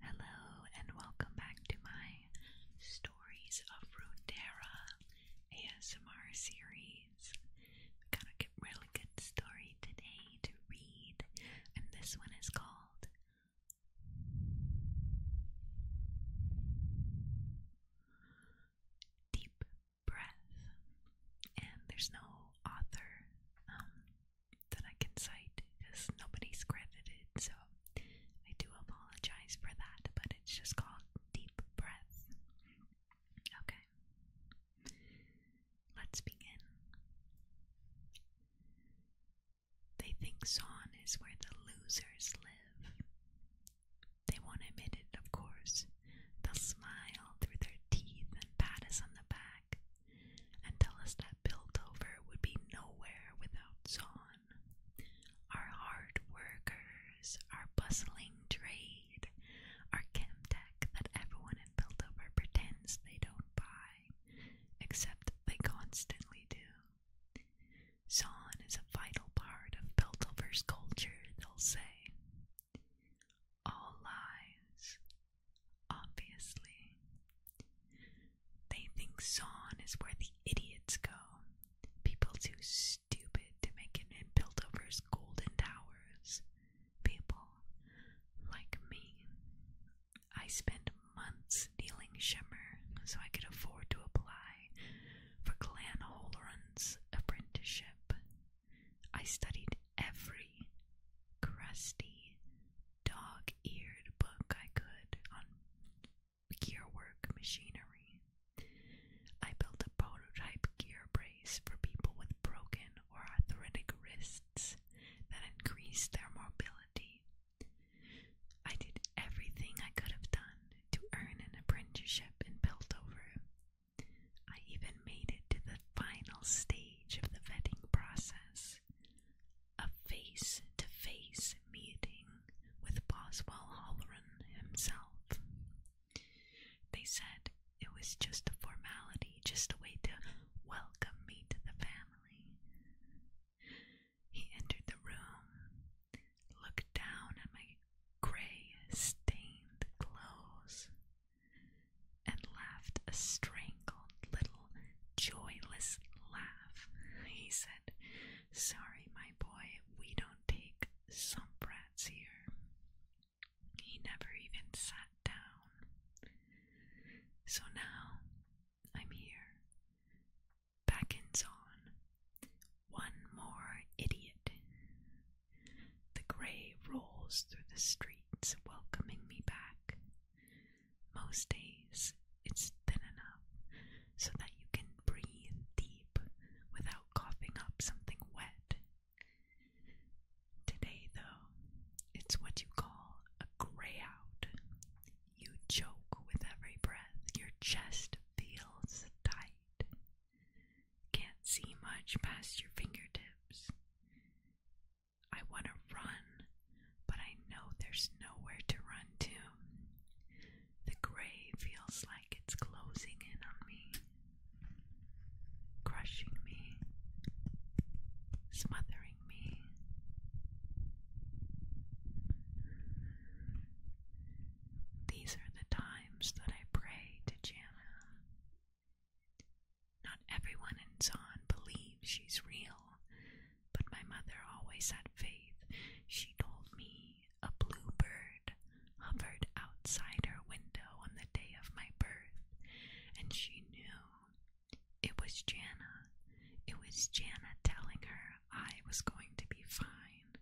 Hello and welcome back to my Stories of Runeterra ASMR series. got a really good story today to read, and this one is called Deep Breath. And there's no author um, that I can cite because nobody's credited, so I do apologize for that, but it's just called Deep Breath. Okay, let's begin. They think Son is where the losers live. They won't admit it, of course. They'll smile through their teeth and pat us on the back and us that Piltover would be nowhere without Zon. Our hard workers, our bustling trade, our chemtech that everyone in Piltover pretends they don't buy, except they constantly do. Zon is a vital part of Piltover's culture, they'll say. All lies, Obviously. They think Zon is where the idiots go. People too stupid to make it and build golden towers. People like me. I spent months stealing Shimmer so I could afford to apply for Clan Holron's apprenticeship. I studied every crusty, dog eared book I could on gearwork machinery. I built a prototype gear brace for people with broken or arthritic wrists that increased their mobility. I did everything I could have done to earn an apprenticeship in Piltover. I even made it to the final stage of the vetting process a face to face meeting with Boswell Halloran himself. They said it was just a formality, just a way to welcome me to the family. He entered the room, looked down at my gray, stained clothes, and laughed a strangled little joyless laugh. He said, Sorry, my boy, we don't take some brats here. He never even sat down. So now I'm here. back in on. One more idiot. The gray rolls through the streets, welcoming me back. Most days, it's thin enough so that you can breathe deep without coughing up something wet. Today, though, it's what you call a gray out. You choke with every breath, your chest feels tight. Can't see much past your fingertips. I want to run, but I know there's nowhere to run to. The grave feels like it's closing in on me, crushing me, smothering me. These are the times that I pray to Jana. Not everyone in Zahn believes she's real, but my mother always had faith. She told me a bluebird hovered outside her window on the day of my birth, and she knew it was Jana. It was Jana telling her I was going to be fine.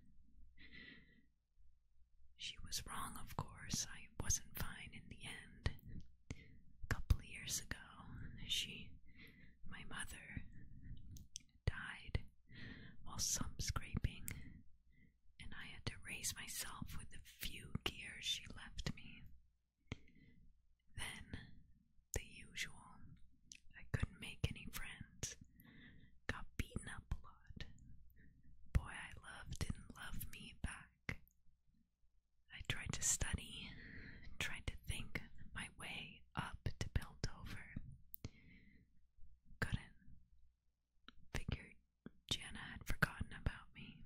She was wrong, of course. I wasn't fine in the end a couple years ago, she, my mother, died while sump scraping, and I had to raise myself with the few gears she left me. Then, the usual, I couldn't make any friends, got beaten up a lot. Boy I loved didn't love me back. I tried to study, tried to think my way up to Piltover. Couldn't. Figured Jana had forgotten about me.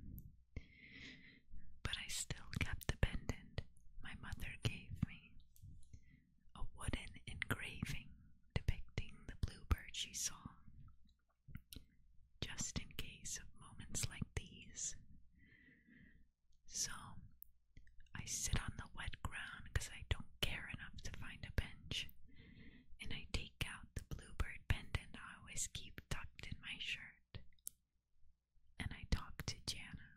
But I still kept the pendant my mother gave me a wooden engraving depicting the bluebird she saw just in case of moments like these. So I sit on the wet ground because I don't care enough to find a bench, and I take out the bluebird pendant I always keep tucked in my shirt, and I talk to Jana.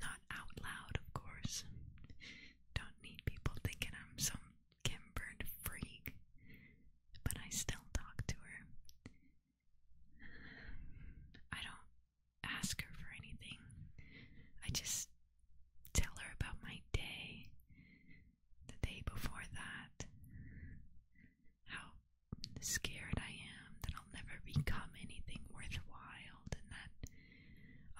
Not out loud, of course. Don't need people thinking I'm some Kim freak, but I still talk to her. I don't ask her for anything. I just tell her about my day, the day before that, how scared I am that I'll never become anything worthwhile and that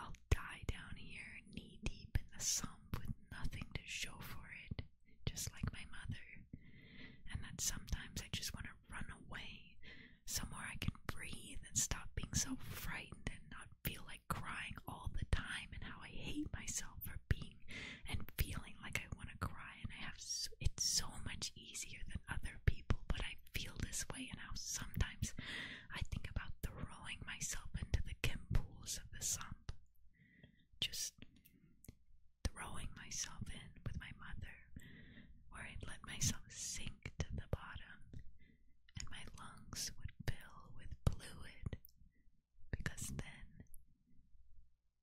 I'll die down here there knee deep in the sump with nothing to show for it, just like my mother, and that sometimes I just want to run away, somewhere I can breathe and stop being so frightened and not feel like crying all the time, and how I hate myself for being and feeling like I want to cry, and I have so, it's so much easier than other people, but I feel this way, and how sometimes I think about throwing myself into the chem pools of the sump just throwing myself in with my mother, where I'd let myself sink to the bottom and my lungs would fill with fluid because then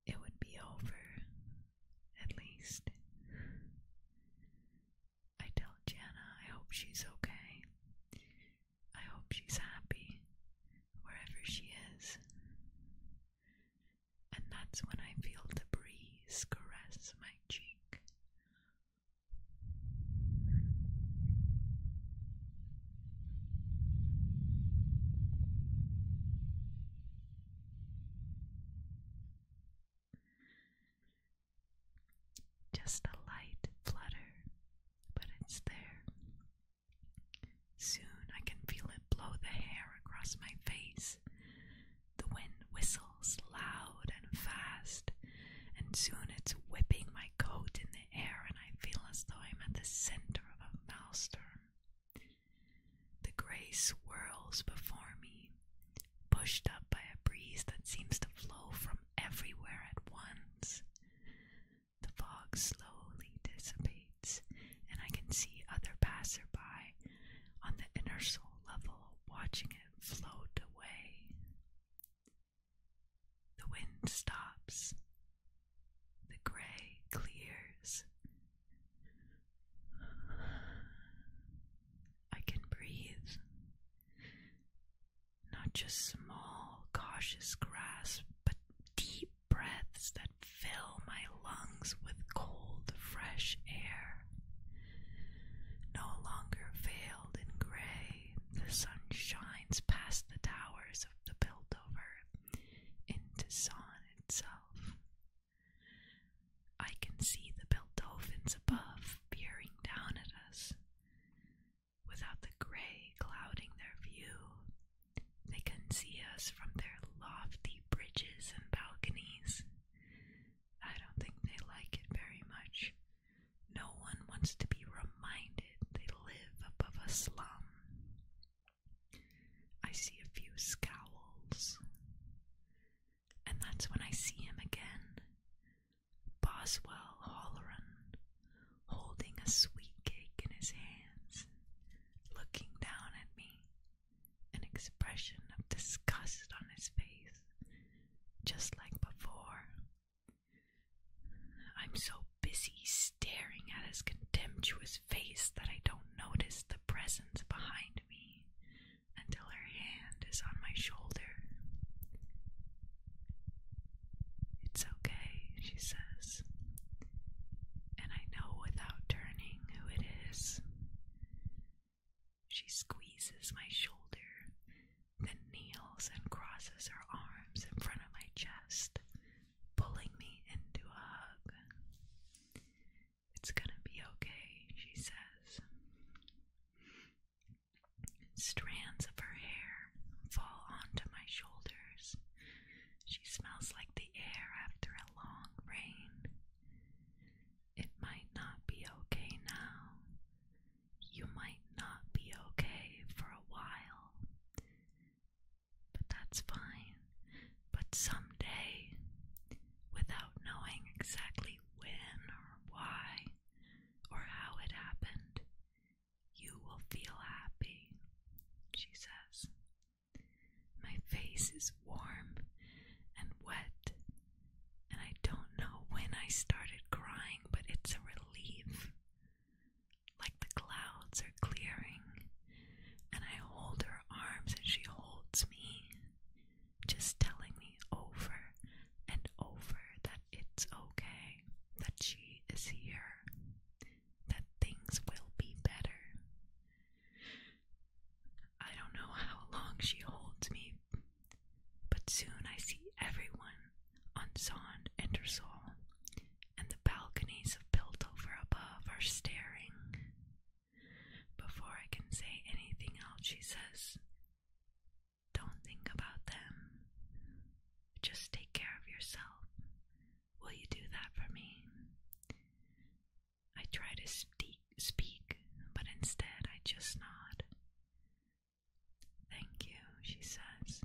it would be over, at least. I tell Jana I hope she's okay. I hope she's happy wherever she is. And that's when I feel the breeze caress my cheek. Just a light flutter but it's there. Soon I can feel it blow the hair across my face. The wind whistles loud and fast, and soon it's whipping my coat in the air, and I feel as though I'm at the center of a maelstrom. The gray swirls before me, pushed up by a breeze that seems to flow from everywhere at once. The fog slowly dissipates, and I can see other passerby on the inertial level watching it float away. The wind stops. The gray clears. I can breathe. Not just small, cautious grasps, but deep breaths that fill my lungs with cold, fresh air. No longer veiled in gray, the sun shines past the towers of the Piltover into Son itself. I can see the Piltofins above peering down at us. Without the gray clouding their view, they can see us from their lofty bridges and balconies. I don't think they like it very much. No one wants to be reminded they live above a slum. I see a few scowls. And that's when I see him again. Boswell Holloran, holding a sweet cake in his hands, looking down at me, an expression of disgust on his face, just like before. I'm so busy staring at his contemptuous face that I don't notice the presence behind me until her hand is on my shoulder. It's okay, she says. And I know without turning who it is. She squeezes my shoulder, then kneels and crosses her arms in front of my chest, pulling me into a hug. It's gonna be okay, she says. Strands of her hair fall onto my shoulders. She smells like the air after a long rain. It might not be okay now. You might not be okay for a while. But that's fine. But someday, without knowing exactly when or why or how it happened, you will feel happy, she says. My face is warm and wet, and I don't know when I started crying, but it's a relief. Like the clouds are clearing, and I hold her arms and she holds me, just telling me over and over that it's okay, that she is here, that things will be better. I don't know how long she holds me, but soon I see everyone on Son and her and the balconies of Piltover above are staring. Before I can say anything else, she says, don't think about them. Just take care of yourself. Will you do that for me? I try to speak, but instead I just nod. Thank you, she says,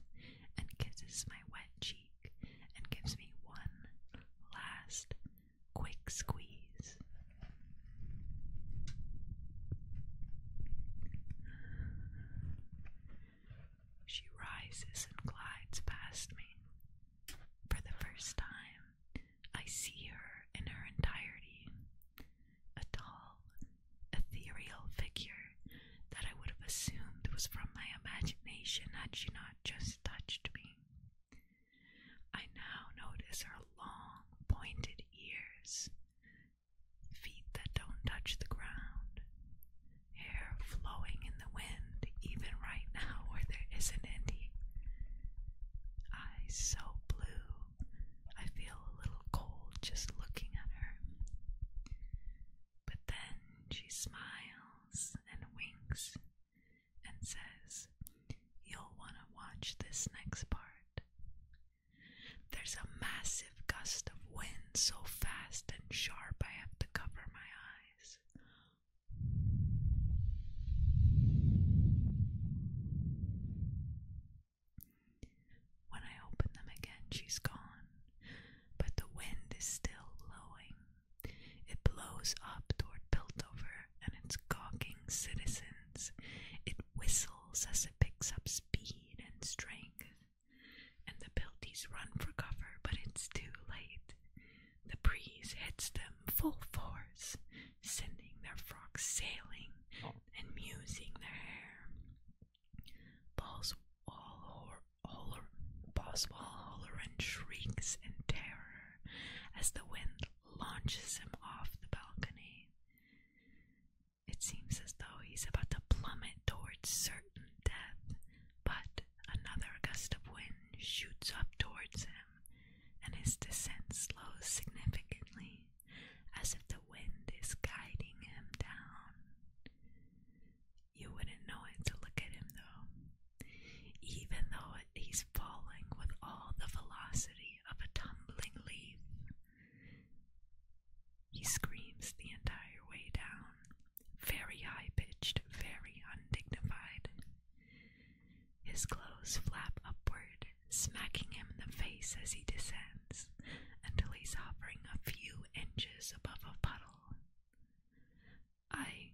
and kisses my wet cheek and gives me one last quick squeeze. She rises and glides past me. For the first time, I see her in her entirety a tall, ethereal figure that I would have assumed was from my imagination had she not just touched me. I now notice her long, pointed ears, feet that don't touch the ground, hair flowing in the wind, even right now where there isn't any, eyes so blue, I feel a little cold just looking at her. But then she smiles and winks and says, You'll want to watch this next part. There's a massive gust of wind so fast and sharp I have to cover my eyes. When I open them again, she's gone, but the wind is still blowing. It blows up toward Piltover and its gawking citizens. It whistles as it picks up speed and strength, and the Pelties run for cover, but it's too late. The breeze hits them full force, sending their frocks sailing oh. and musing their hair. Balls Boswell Holler, and shrieks in terror as the wind launches him off the balcony. It seems as though he's about to plummet towards certain death, but another gust of wind shoots up towards him, and his descent slows significantly, as if the wind is guiding him down. You wouldn't know it to look at him, though. Even though he's falling with all the velocity of a tumbling leaf, he screams the entire way down, very high pitched, very undignified. His clothes flap upward, smacking him in the face as he descends until he's hovering a few inches above a puddle. I.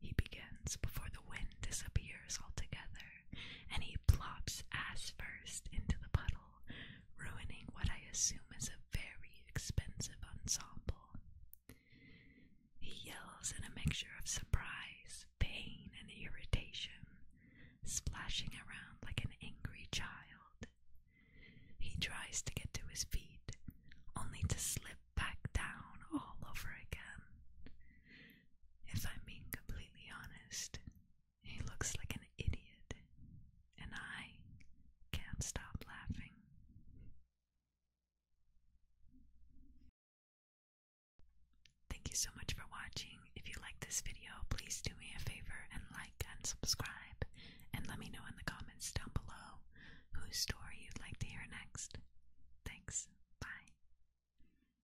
He begins before the wind disappears altogether. and he plops ass first into the puddle, ruining what I assume is a very expensive ensemble. He yells in a mixture of surprise, pain, and irritation, splashing around like an angry child. He tries to get to his feet, only to slip back down all over again. If I'm being completely honest, he looks like an idiot, and I can't stop laughing. Thank you so much for watching. If you like this video, please do me a favor and like and subscribe, and let me know in the comments down below whose story you'd like to hear next. Thanks. Bye.